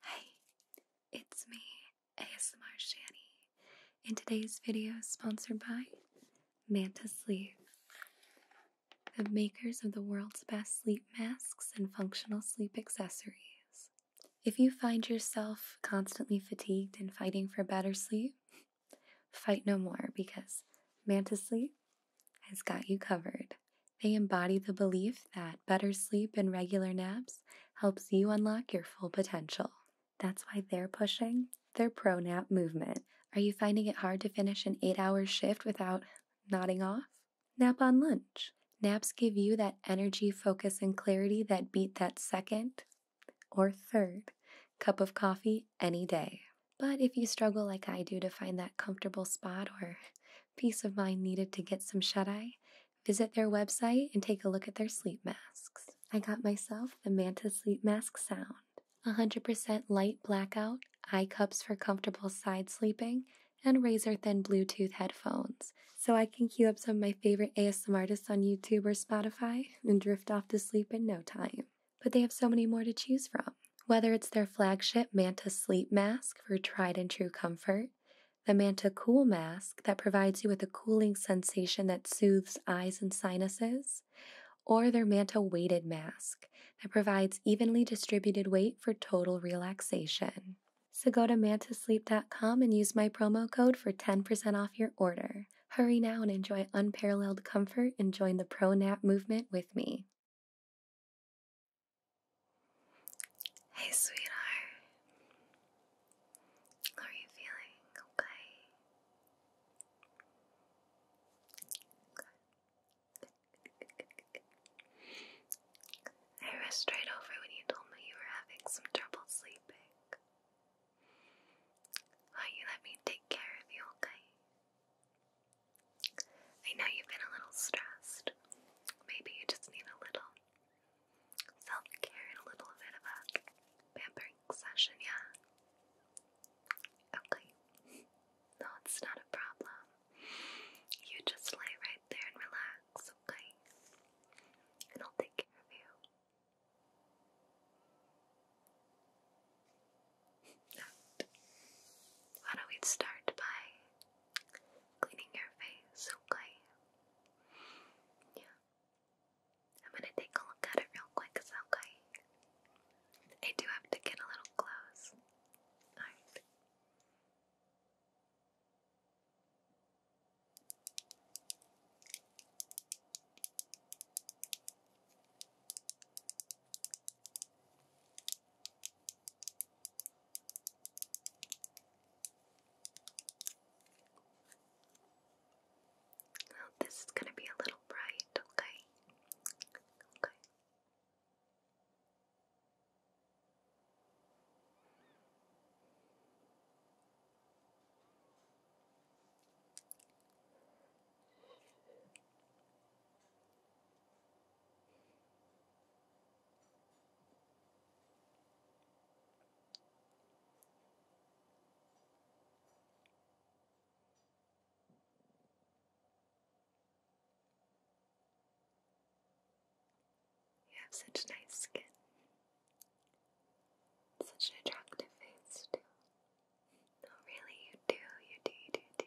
Hi, it's me, ASMR Shani. and today's video is sponsored by Manta Sleep, the makers of the world's best sleep masks and functional sleep accessories. If you find yourself constantly fatigued and fighting for better sleep, fight no more because Manta Sleep has got you covered. They embody the belief that better sleep and regular naps helps you unlock your full potential. That's why they're pushing their pro nap movement. Are you finding it hard to finish an eight hour shift without nodding off? Nap on lunch. Naps give you that energy, focus, and clarity that beat that second or third cup of coffee any day. But if you struggle like I do to find that comfortable spot or peace of mind needed to get some shut eye, Visit their website and take a look at their sleep masks. I got myself the Manta Sleep Mask Sound. 100% light blackout, eye cups for comfortable side sleeping, and razor thin Bluetooth headphones. So I can cue up some of my favorite ASM artists on YouTube or Spotify and drift off to sleep in no time. But they have so many more to choose from. Whether it's their flagship Manta Sleep Mask for tried and true comfort, the Manta Cool Mask that provides you with a cooling sensation that soothes eyes and sinuses, or their Manta Weighted Mask that provides evenly distributed weight for total relaxation. So go to mantasleep.com and use my promo code for 10% off your order. Hurry now and enjoy unparalleled comfort and join the pro nap movement with me. Hey, sweetheart. are you feeling? Okay. I rushed right over when you told me you were having some trouble sleeping. Why you let me take care of you, okay? I know you've been a little stressed. Maybe you just need a little self care and a little bit of a pampering session, yeah? Okay. No, it's not a problem. You just lay right there and relax, okay? And I'll take care of you. Why don't we start by cleaning your face, okay? Yeah. I'm gonna take a look at it real quick, okay? I do have to get a little close. Alright this is going to be a little bright, Okay. Okay. You have such nice skin. Such an attractive face, too. No, really, you do, you do, you do.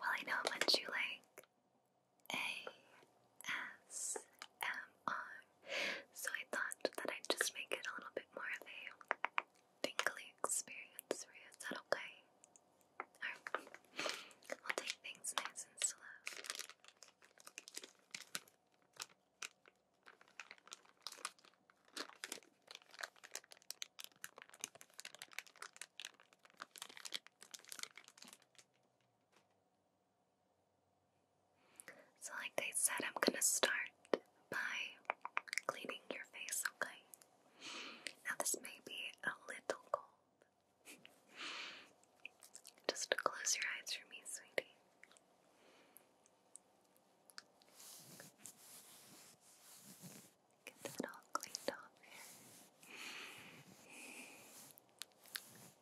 Well, I know much you like ASMR so I thought that I'd just make it a little bit more of a tingly experience for you. Is that okay? Alright. will take things nice and slow. So, like I said, I'm gonna start by cleaning your face, okay? Now, this may be a little cold. Just close your eyes for me, sweetie. Get that all cleaned off here.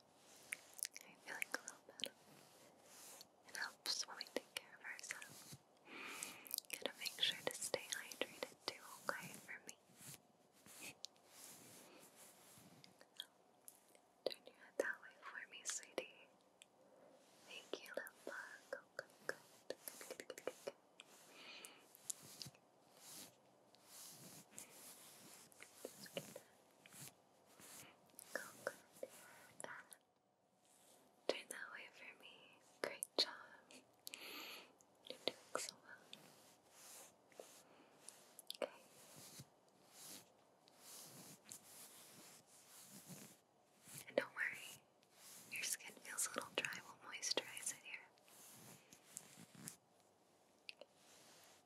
I'm feeling a little better. It helps when we take care of ourselves. Gotta make sure to stay hydrated too, okay, for me. Turn your head that way for me, sweetie. Thank you, little bug. Go, go, go. Good, good, good, good. Just get that. Go good. Turn that way for me. Great job. You're doing so well. Okay. And don't worry, your skin feels a little dry. We'll moisturize it here.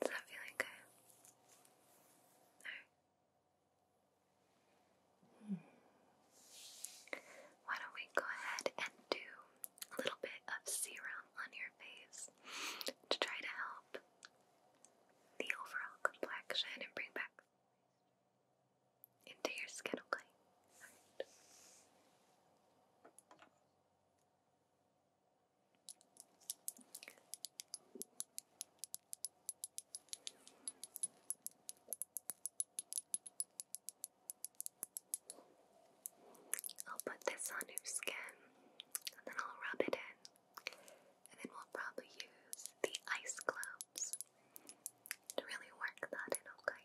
Is that feeling good? Alright. Why don't we go ahead and do a little bit of serum on your face to try to help the overall complexion and bring back into your skin, okay? Alright. I'll put this on your skin and then I'll rub it in. And then we'll probably use the ice globes to really work that in, okay?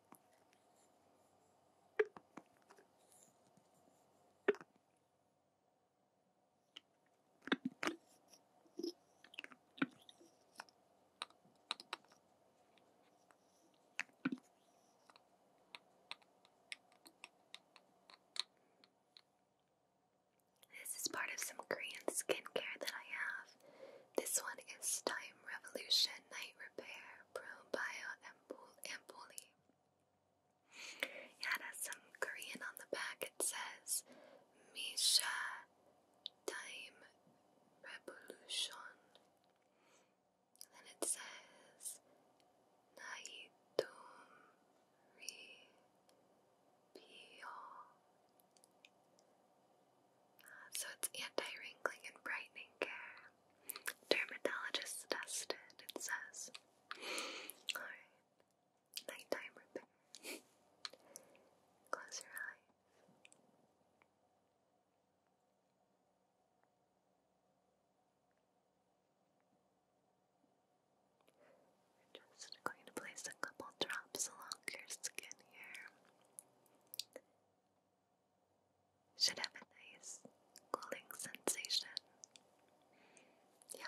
This is part of some Korean skincare that I have. This one is Time Revolution Night Repair Pro Bio Ampul Ampuli it has some Korean on the back. It says Misha Time Revolution. And it says Naitum Ri Pio. so it's anti wrinkling and brightening care. Dermatologist tested, it says. Alright. Nighttime repair. Close your eyes. just going to place a couple drops along your skin here should have a nice cooling sensation. Yeah.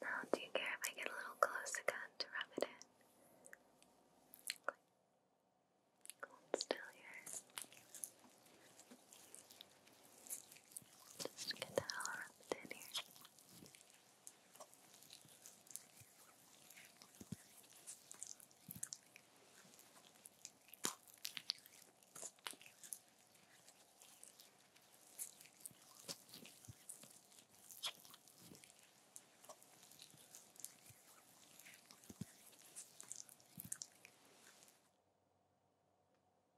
Now, do you care if I get a little close again to rub it in? still here. Just get the hell rubbed in here. Good.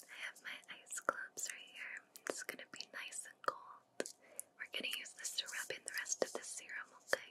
I have my ice clubs right here. It's gonna be nice and cold. We're gonna use this to rub in the rest of the serum, Okay,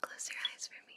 Close your eyes for me.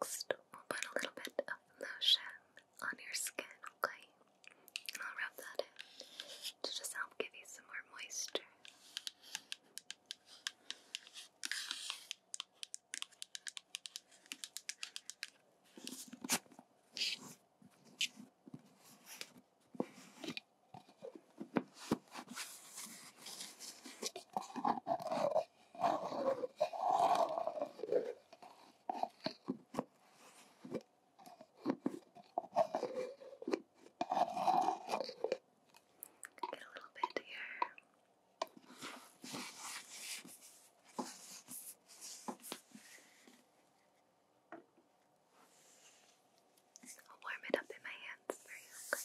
Next, we'll put a little bit of lotion on your skin, okay? And I'll rub that in to just help give you some more moisture. Get a little bit here. I'll warm it up in my hands for you. Okay?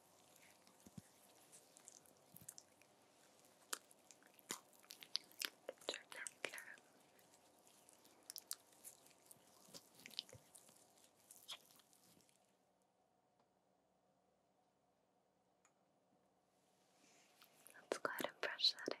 Let's go ahead and brush that in.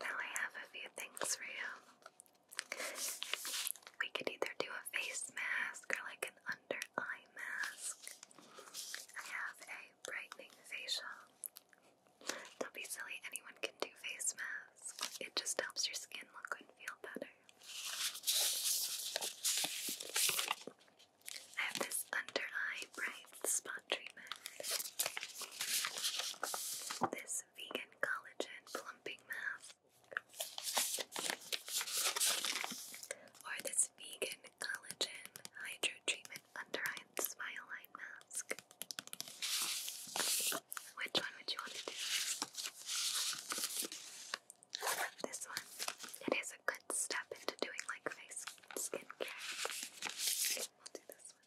Now I have a few things for you. We could either do a face mask or like an under eye mask. I have a brightening facial. Don't be silly, anyone can do face masks. It just helps your skin look and feel better. I have this under eye bright spot treatment. This vegan collagen plumping mask. Or this vegan collagen hydro treatment under eye smile line mask. Which one would you want to do? This one, it is a good step into doing like face skincare. We'll do this one.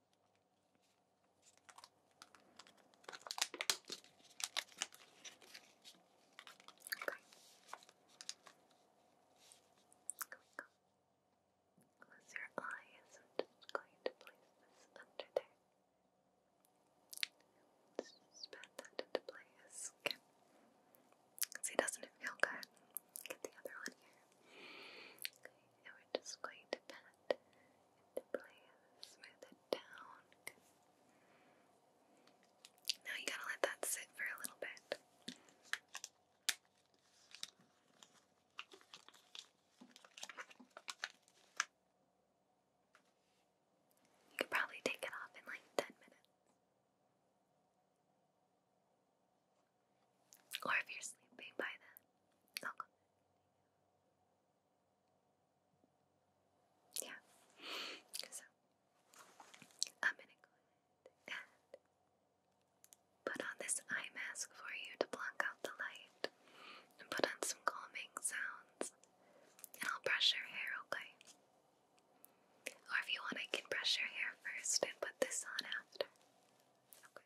Okay. Here Close your eyes. I'm just going to place this under there. just pat that into place. Okay. See, doesn't it feel good? Get the other one here. Okay, and we're just going to pat to please smooth it down. Now you gotta let that sit for a little bit. You could probably take it off in like 10 minutes. Or if you're sleeping by then, I'll yeah. So I'm gonna go ahead and put on this eye mask for you to block out the light and put on some calming sounds. And I'll brush your hair, okay? Or if you want I can brush your hair first and put this on after. Okay.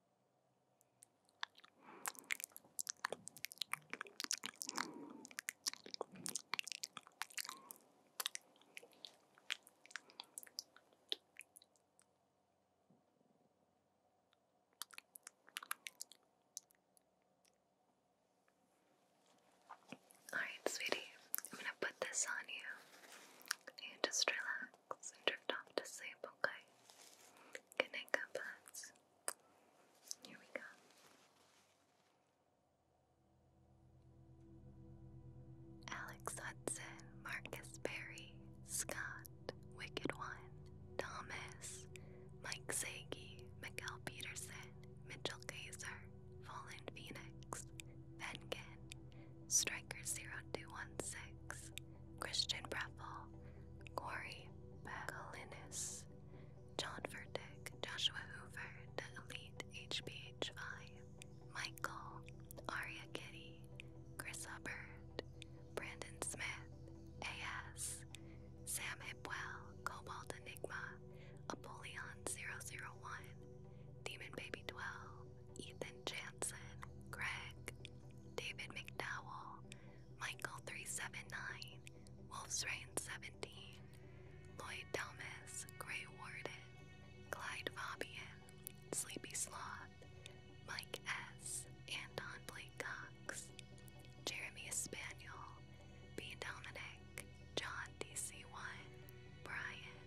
All right, sweetie, I'm gonna put this on you. and just relax and drift off to sleep, okay? Good night, here we go. Alex Hudson, Marcus Berry, Scott, Wicked One, Thomas, Mike Sagi, Miguel Peterson, Mitchell Gazer, Fallen Phoenix, Vengen, Striker 0216, Christian Breffel, Corey Bagalinis, John Vertick, Joshua Hoover, The Elite hbh Michael, Aria Kitty, Chris Hubbard, Brandon Smith, AS, Sam Hipwell, Cobalt Enigma, Apollyon001, Demon Baby 12, Ethan Jansen, Greg, David McDowell, Michael 379, Wolf's Rain 17, Lloyd Delmas, Grey Warden, Clyde Fabian, Sleepy Sloth, Mike S., and Don Blake Cox, Jeremy Espaniel, B. Dominic, John DC1, Brian.